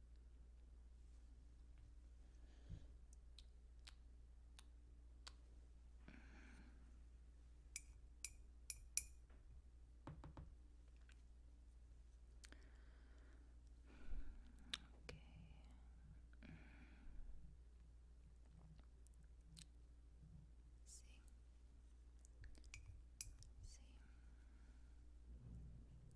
Okay. Mm. See. See.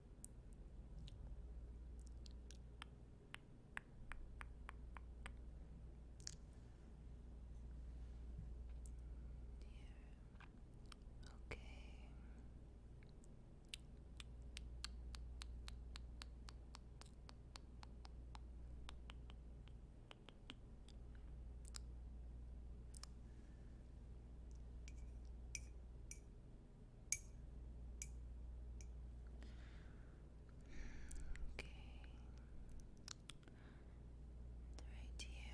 Here. Okay. Okay. Okay. right here.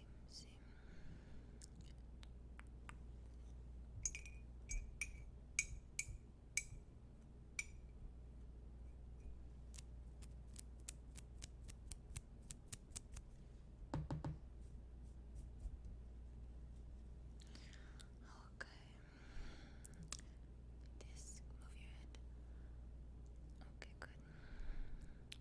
see. Okay. This move your head. Okay, good.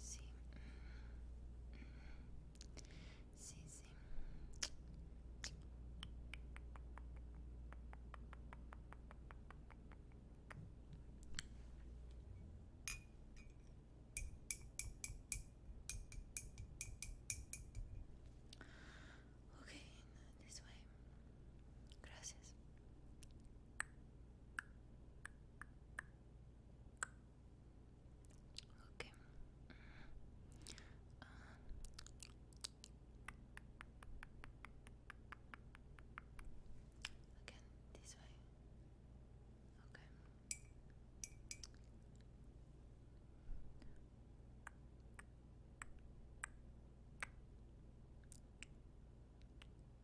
Sí. Sí, sí. Okay, this way. Gracias. Okay. Uh, again, this way. Okay.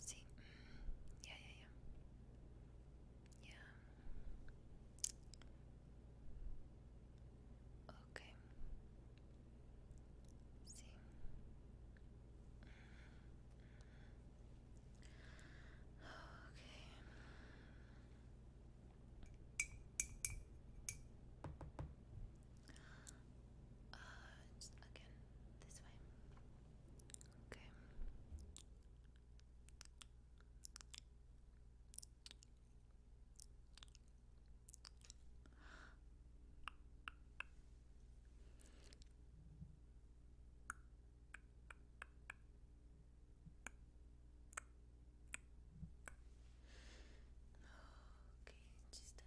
See? Mm. Yeah, yeah, yeah. Yeah. Okay. Okay. Ah, again, this way. Okay. Okay, just a little.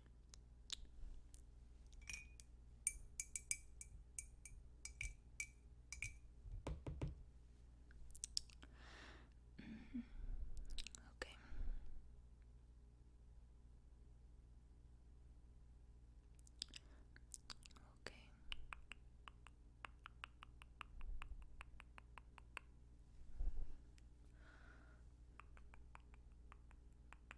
Mm -hmm. Okay. Okay. And uh, okay.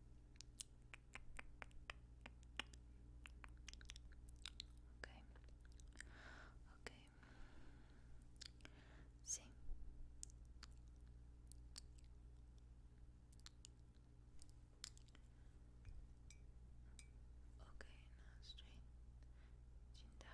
Okay. Okay. Sí. Okay, now straight. Chin down.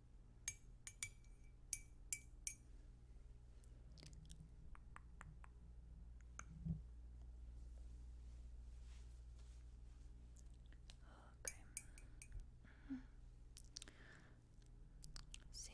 Okay. Mm -hmm. Sí.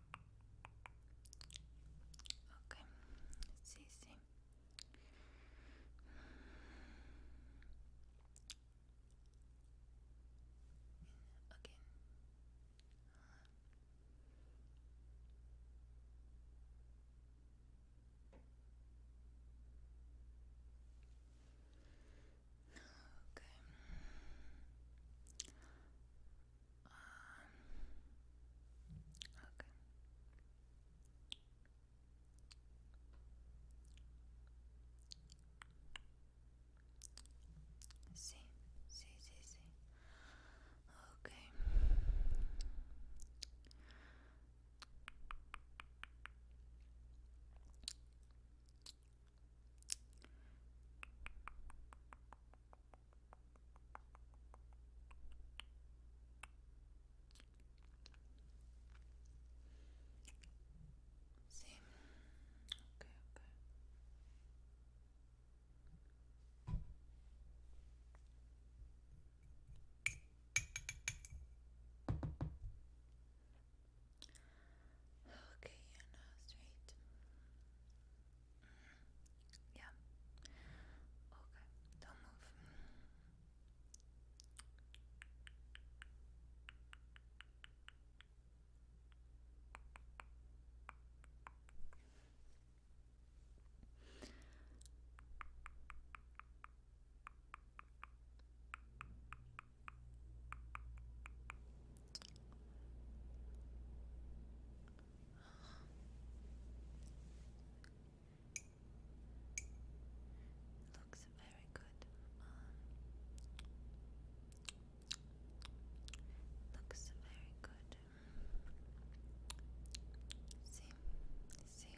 Ok, sí, sí. Again. Okay. Um, okay. Sí, sí, sí, sí. Okay. Sí. Okay, okay. Okay, your straight. Mm, yeah. Okay, don't move. Looks very good. looks very good. See, see.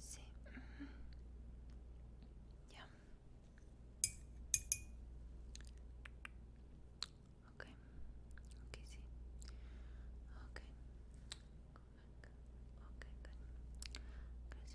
See. Mm. Yeah. Okay. Okay, Okay. Okay, good. Gracias.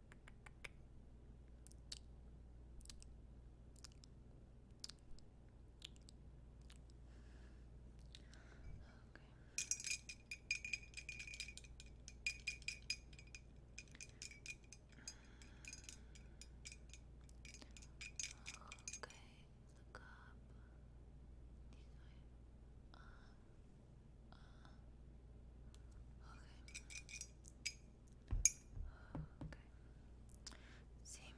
look up. Uh, uh. Okay. Same.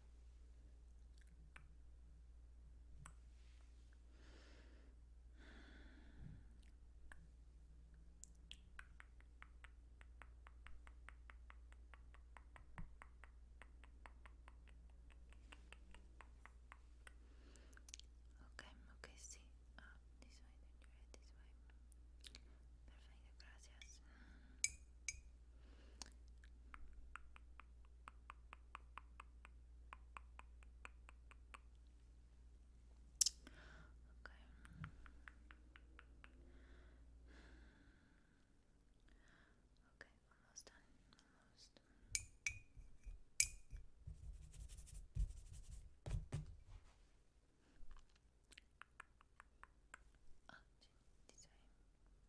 Okay, okay, sí. Ah, this way, you this way. Perfecto, gracias. Okay. Okay, almost done. Almost. Oh, this way.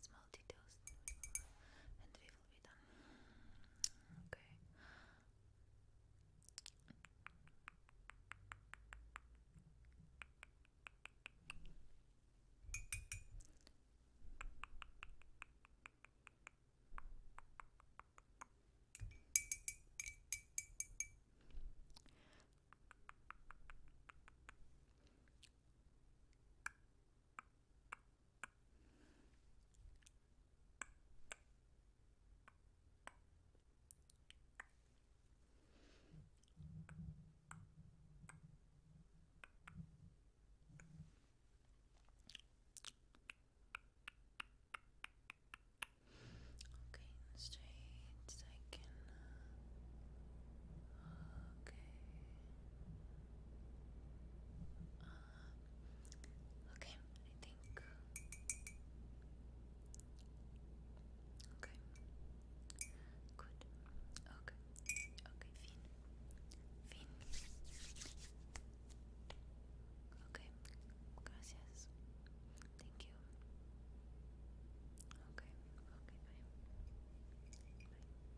small details and we will be done. Okay. Okay, the streets I can. Uh, okay okay, I think. Okay. Good. Okay. Okay, Finn. Finn. Okay. Gracias. Thank you. Okay. Okay, bye. Bye.